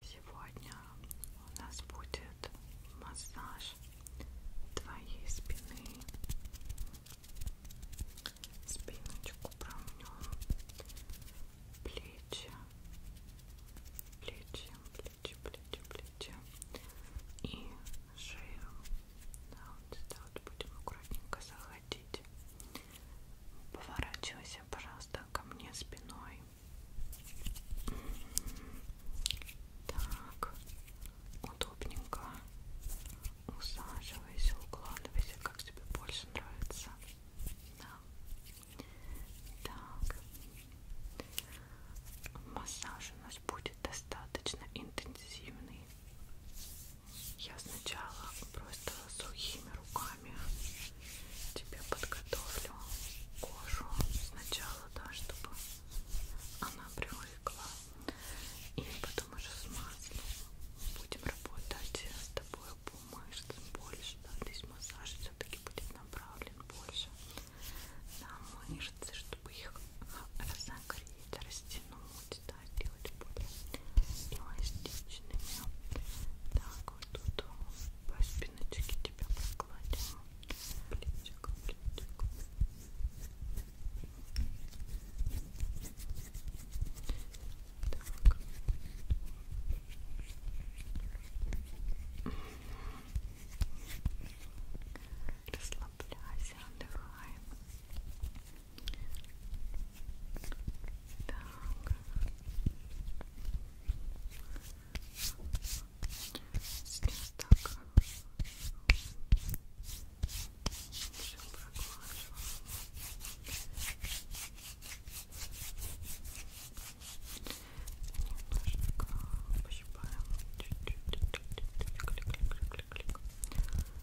Сегодня у нас будет массаж твоей спины. Спиночку промнем, плечи, плечи, плечи, плечи, плечи и шею. Да, вот сюда вот будем аккуратненько заходить. Поворачивайся, пожалуйста, ко мне спиной. Так, удобненько усаживайся, укладывайся, как тебе больше нравится. Да. Так, массаж у нас будет достаточно интенсивный. Я сначала просто сухими руками тебе подготовлю кожу сначала, да, чтобы она привыкла, и потом уже с маслом будем работать с тобой по мышцам больше, да, здесь массаж все-таки будет направлен больше на мышцы, чтобы их разогреть, растянуть, да, сделать более эластичными. Так, вот тут по спиночке тебя прокладим плечик, плечик. Так. расслабляйся, отдыхай Сейчас так все проглаживаем. Немножко пощипаем. Чуть-чуть. Клик-клик-клик-клик-клик. Чуть-чуть. Клик-клик-клик-клик-клик.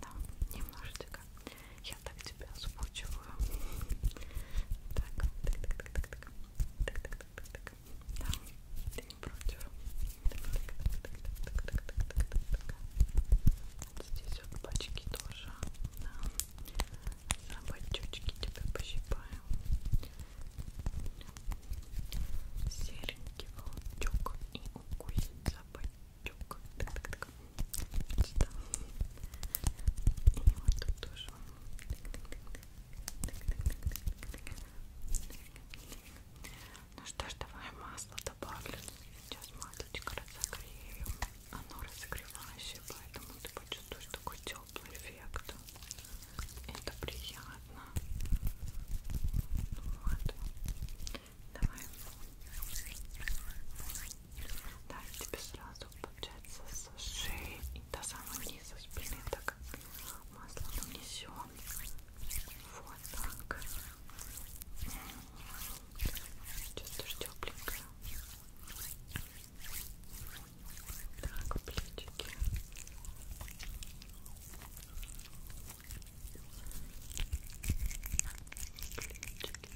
Да, немножечко. Я так тебя смучиваю. Так, так, так, так, так, так, так, так, так, так. Да, ты не против. Так, так, так, так, так, так, так, так, так. Вот здесь вот пачки тоже. Да. Собачочки тебя пощипаем серенький волчок и укусит за бочок. Так, так, так. Сюда. И вот тут тоже. Ну что ж, давай масло добавлю. Сейчас маслечко разогрею. Оно разогревающее, поэтому ты почувствуешь такой теплый эффект это приятно. Вот. Давай. Да, я тебе сразу получается со шеи и до самого низа спины так масло нанесем. Вот так. Чувствуешь тепленькое? Так, плечики. Плечики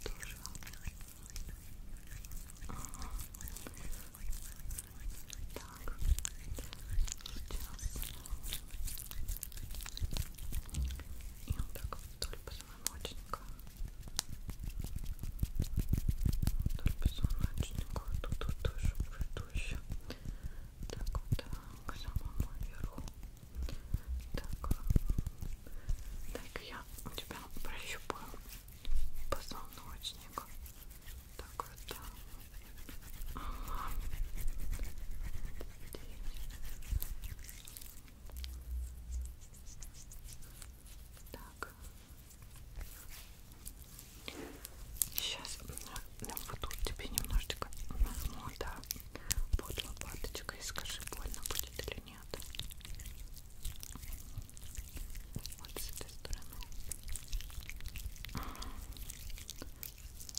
тоже. Ага. Так, сейчас. И вот так вдоль позвоночника. Вдоль позвоночника. Тут, тут тоже будет еще так вот э, к самому верху так э, так я у тебя прощупаю позвоночник так вот э, ага. так Сейчас буду тебе немножечко нажму, да, под лопаточкой и скажи, больно будет или нет. Вот с этой стороны.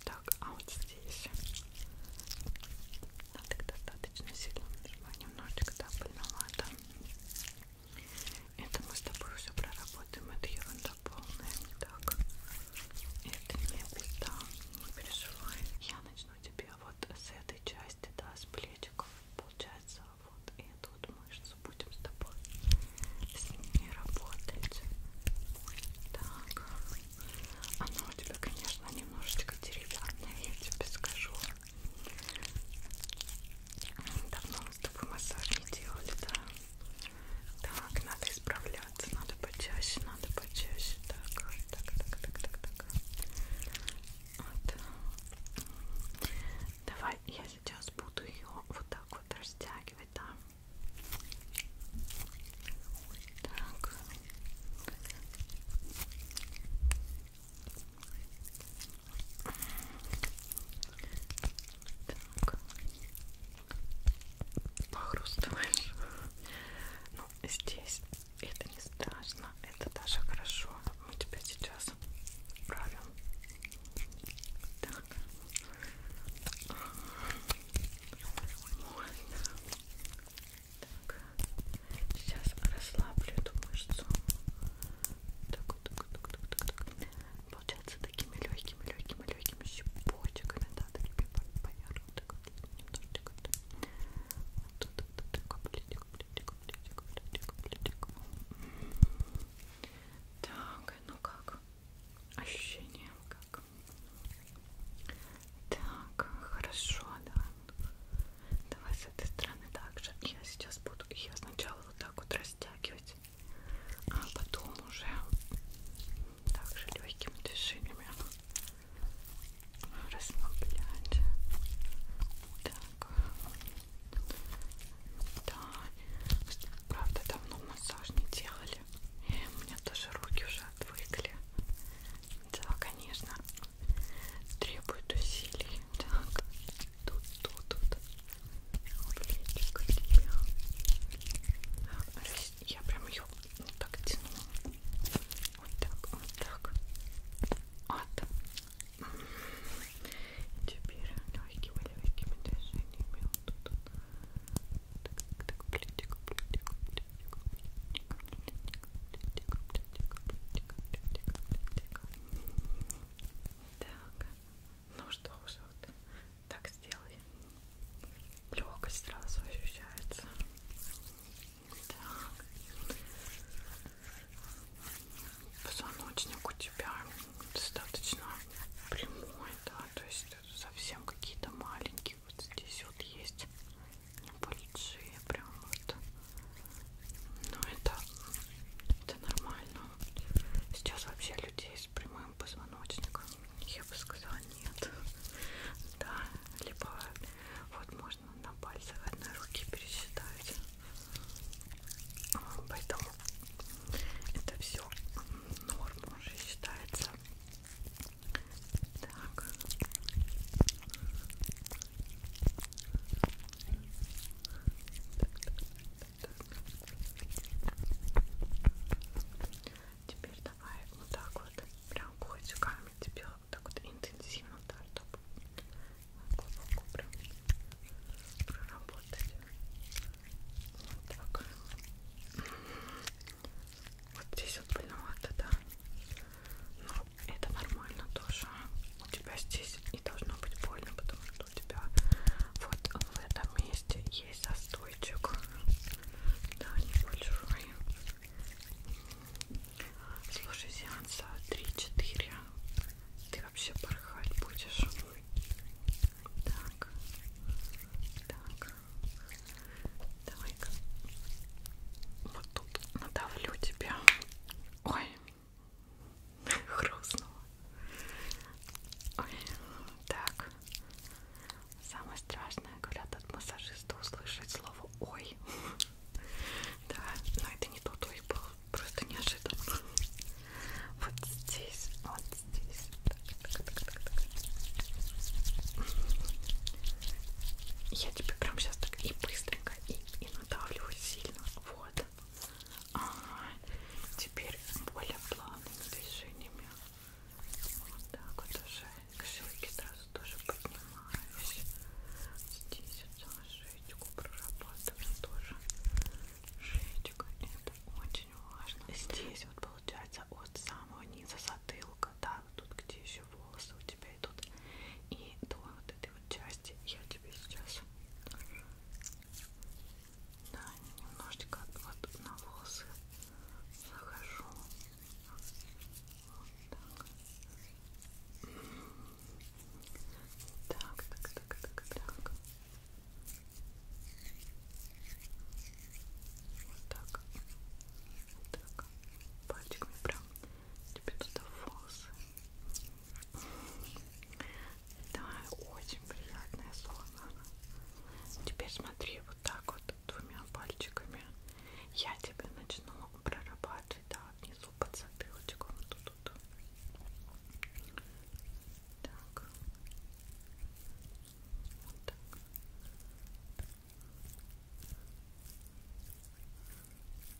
Так, а вот здесь надо достаточно сильно нажимать, немножечко, да, больновато. Это мы с тобой все проработаем. Это ерунда полная, не так. Это не беда, не переживай. Я начну тебе вот с этой части, да, с плечиков. Получается, вот эту вот мышцу будем с тобой с ними работать. Так. Она у тебя, конечно, немножечко деревянная, я тебе скажу. Давно с тобой массаж не делали, да? Так, надо исправляться, надо почаще, надо почаще. Так, так, так, так, так, так. Вот. Давай я сейчас буду ее вот так вот растягивать, да? Так. Так. Похрустываешь. Ну, здесь это не страшно. Это даже хорошо. Мы тебя сейчас правим. Так. Вот. Так. Сейчас расслаблю эту мышцу. Так, так, так, так, так, так получается такими легкими, легкими, легкими щепочками, да, такими поверх, такой немножечко, вот тут, вот такой плитик, плитик, плитик, плитик, плитик. Так, а ну как? Ощущение как? Так, хорошо, да. Давай с этой стороны также. Я сейчас буду ее сначала вот так вот растягивать растягивать, а потом уже также легкими движениями расслаблять. Так, да, правда давно массаж не делали, и у меня тоже руки уже отвыкли. Да, конечно, требует усилий. Так, тут, тут, тут. Я прям ее вот так тянула. Вот так, вот так. Вот. Теперь легкими, легкими движениями. Вот тут, тут. Так, так, плетик, плетик, плетик, плетик, плетик, плетик, плетик, плетик, плетик, плетик. Так, ну что же, вот так сделай. Легкость сразу ощущается. Так. Позвоночник у тебя достаточно прямой, да, то есть совсем какие-то маленькие. Вот здесь вот есть небольшие прям вот но ну, это, это нормально. Сейчас вообще людей с прямым позвоночником, я бы сказала, нет. Да, либо вот можно на пальцах одной руки пересчитать. Поэтому это все норма уже считается. Так. Теперь давай вот так вот, прям котиками тебе вот так вот интенсивно, да, чтобы глубоко прям проработать. Вот так. Вот здесь вот больновато, да. Но это нормально тоже. У тебя здесь не должно быть больно, потому что у тебя вот в этом месте есть застойчик. Да, небольшой. Слушай, сеанса 3-4. Ты вообще порхать будешь. Так. Так. Давай-ка. Вот тут надавлю тебя. Ой, хрустнуло. Ой, так. Самое страшное, говорят, от массажиста услышать слово «ой». Да, но это не тот «ой» был, просто неожиданно. Вот здесь, вот здесь. Так, так, так, так. Я тебе прям сейчас так и быстренько, и, и надавливаю сильно. Вот. Ага. Теперь более плавными движениями. Вот так вот уже к шейке сразу тоже поднимаюсь. Здесь вот шеечку прорабатываем тоже. Шеечка. Это очень важно. Здесь вот получается от самого низа затылка, да, вот тут где еще волосы у тебя идут. И до вот этой вот части я тебе сейчас да, немножечко вот на волосы захожу вот так так, так, так, так вот так вот так пальчиками прям тебе туда волосы да, очень приятное слово. Теперь смотри вот так вот двумя пальчиками. Я тебе начну прорабатывать, да, внизу под затылочком. Тут, тут. Так. Вот так.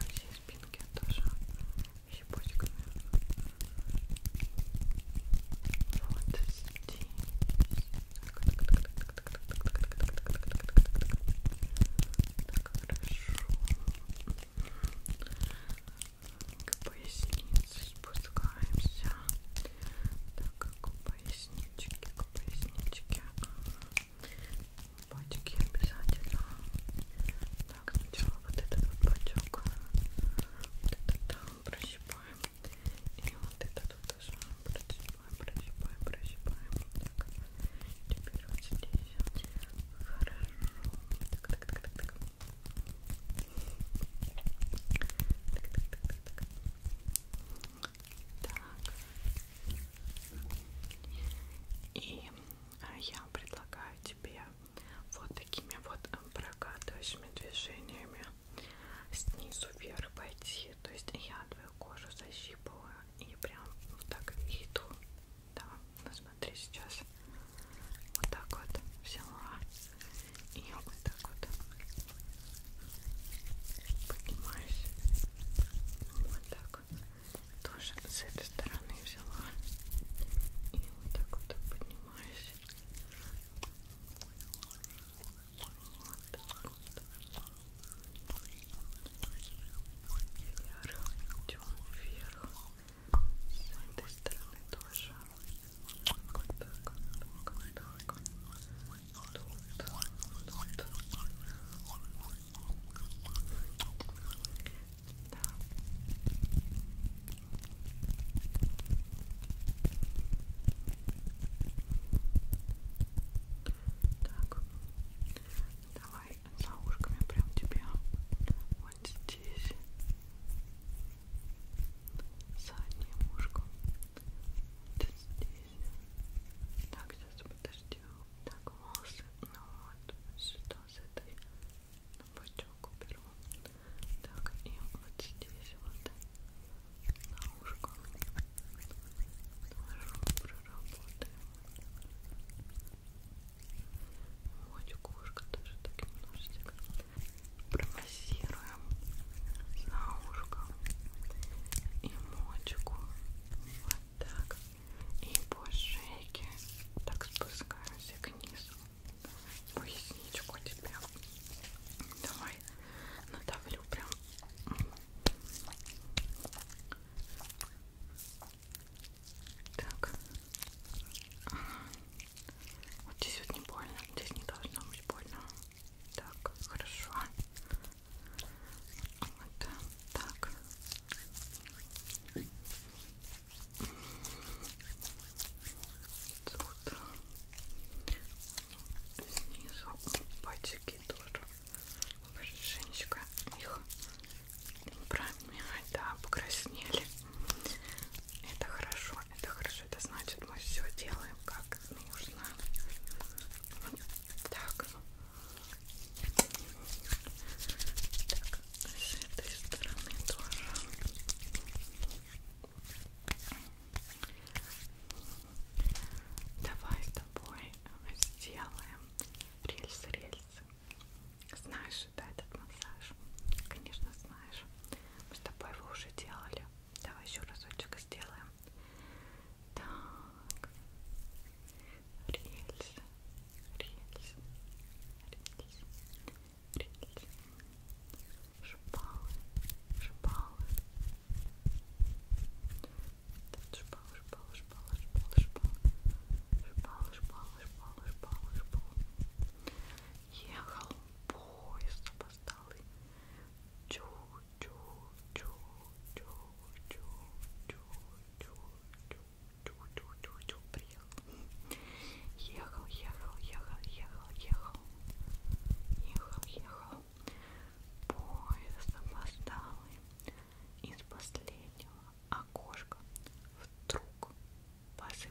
По всей спинке тоже щепочками. Вот здесь. Так, так, так, так, так, так, так, так, так, так, так, так, так, так, так. Так, хорошо. К пояснице спускаемся. Так, к пояснице поясничке, к поясничке. Пачки обязательно. Так, сначала вот этот вот пачок. Вот этот там прощипаем. И вот этот вот тоже прощипаем, прощипаем, прощипаем. Так, теперь вот здесь. Хорошо. Так, так, так, так, так. Так, так, так, так, так. Так. И а, я предлагаю тебе вот такими вот э, прокатывающими движениями снизу вверх пойти. То есть я твою кожу защипываю и прям вот так иду. Да, ну смотри сейчас. Вот так вот взяла. И вот так вот поднимаюсь вот так тоже с этой стороны взяла и вот так вот поднимаюсь вот так вот вверх, идем вверх с этой стороны тоже вот так, вот так, вот так так, давай за ушками прям тебе вот здесь задним ушком вот здесь. Так, сейчас подожди. Так, волосы. Ну вот, что с этой на бочок уберу. Так, и вот здесь вот на ушко. Тоже проработаем. Вот, кошка тоже так немножечко промассируем на ушко и мочку вот так и по шейке так спускаемся к низу поясничку тебе давай надавлю прям так вот здесь вот не больно здесь не должно быть больно так, хорошо. Вот так. Тут снизу пальчики тоже. Женечка их промять, да, покраснели. Это хорошо. Это хорошо, это значит мы все делаем как нужно. Так. Так, с этой стороны тоже. Давай с тобой сделаем рельсы, рельсы. Знаешь, да, этот массаж? Конечно, знаешь. Мы с тобой его уже делали. Давай еще разочек сделаем. Так. Рельс. Рельс. Рельс. Рельс. Шпалы. Шпалы. Тут шпалы, шпалы, шпалы, шпалы, шпалы. Шпалы, шпалы, шпалы, шпалы, шпалы. Ехал поезд по столы. Чу-чу-чу-чу-чу-чу-чу-чу-чу-чу приехал. Ехал, ехал, ехал, ехал, ехал. Ехал, ехал. Поезд опоздалый. Из последнего окошка вдруг позади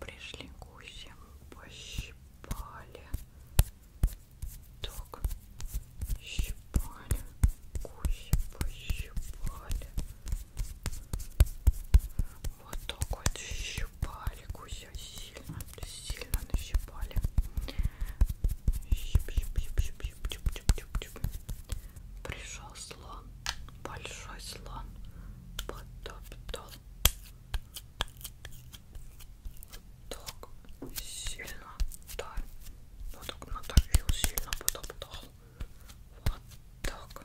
Пришли гуси, пощипали. Так, щипали, гуси пощипали. Вот так вот щипали гуся сильно, сильно нащипали. Щип, щип, щип, щип, щип, чуп, чуп, чуп, чуп. Пришел слон, большой слон, потоптал. Так сильно, да. Ну, вот так надавил, сильно потоптал. Вот так.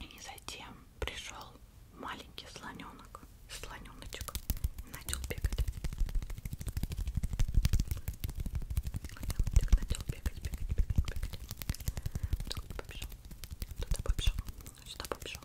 И затем пришел маленький слоненок, слоненочек, и начал бегать. Слоненочек начал бегать, бегать, бегать, бегать. Туда побежал, туда побежал, сюда побежал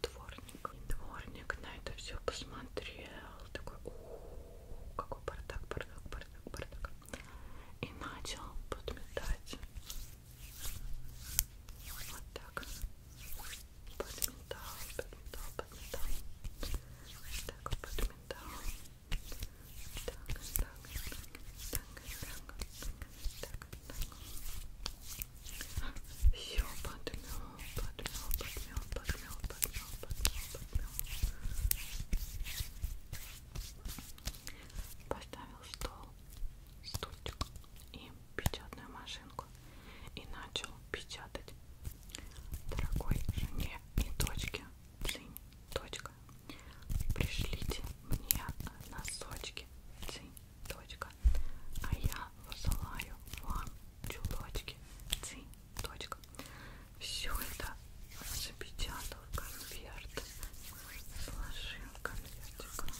дворник. И дворник на это все посмотрел, такой, у, -у, -у какой бардак, бардак, бардак, бардак, и начал подметать. Вот так. Подметал, подметал, подметал. Так, подметал. Так, так, так, так, так, так, так. Все подмел, подмел, подмел, подмел, подмел, подмел, подмел. Поставил стол, стульчик и печатную машинку. И начал печатать дорогой жене и дочке. Цинь, точка. Пришлите мне носочки. Цинь, точка а я посылаю вам чулочки ци. Точка. Все это запечатал в конверт. Сложил конвертик.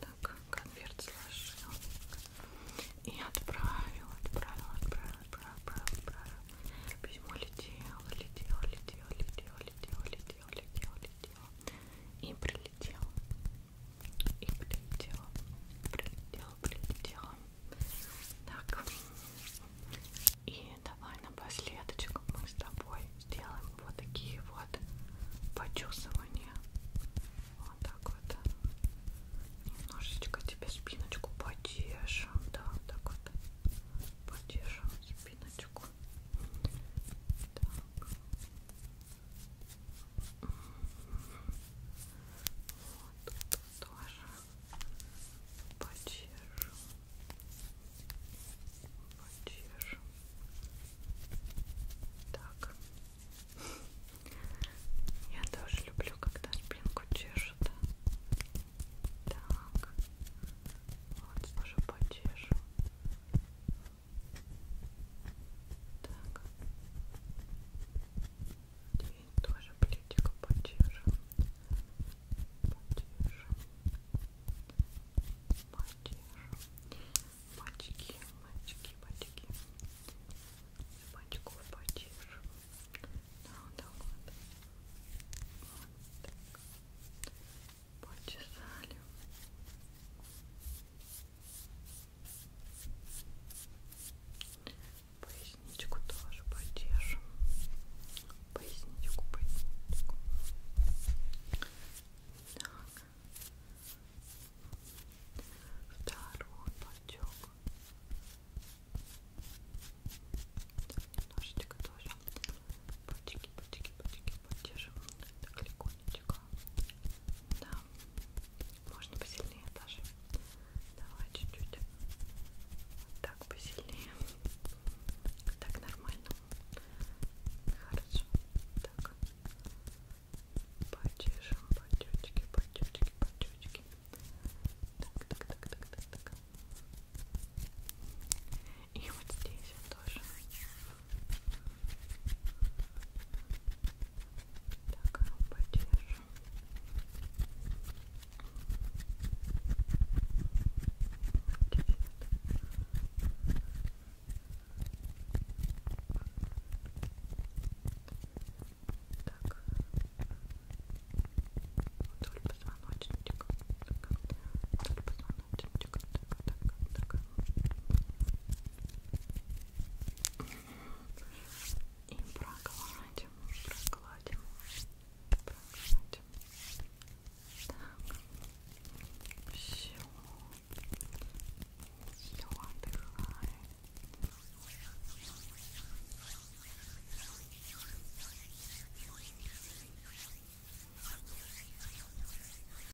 Так, конверт сложил. И отправил, отправил, отправил, отправил, отправил, отправил. Письмо летело, летело, летело, летело, летело, летело, летело, летело. И прилетело и прилетела, прилетела, прилетела. Так, и давай напоследочек мы с тобой сделаем вот такие вот почесывания. Вот так вот. Немножечко тебе спиночку поддержим, да, вот так вот. Поддержим спиночку. Так. Вот тут тоже почешу. Почешу. Так. Я тоже люблю, когда спинку чешут. Так. Вот тоже почешу. Так. Теперь тоже плитику поддержим. Поддержим. Поддержим. Мальчики, мальчики, мальчики. Мальчиков поддержим. Ну, да, да, вот. Вот так. Почесали. Поясничку тоже поддержим. Поясничку, поясничку. Так. Второй подтек. Немножечко тоже. Пальчики, пальчики, пальчики поддержим. Так легонечко. Да. Можно посильнее даже. Давай чуть-чуть. Вот так посильнее. Так нормально. Хорошо. Так. Почешем потечки, потечки, потечки. Так, так, так, так, так, так. И вот здесь я тоже. Так, а ну поддержим. Так, вдоль позвоночника, вдоль позвоночника. И прокладим, прокладим, прокладим. Так, все, все отдыхай.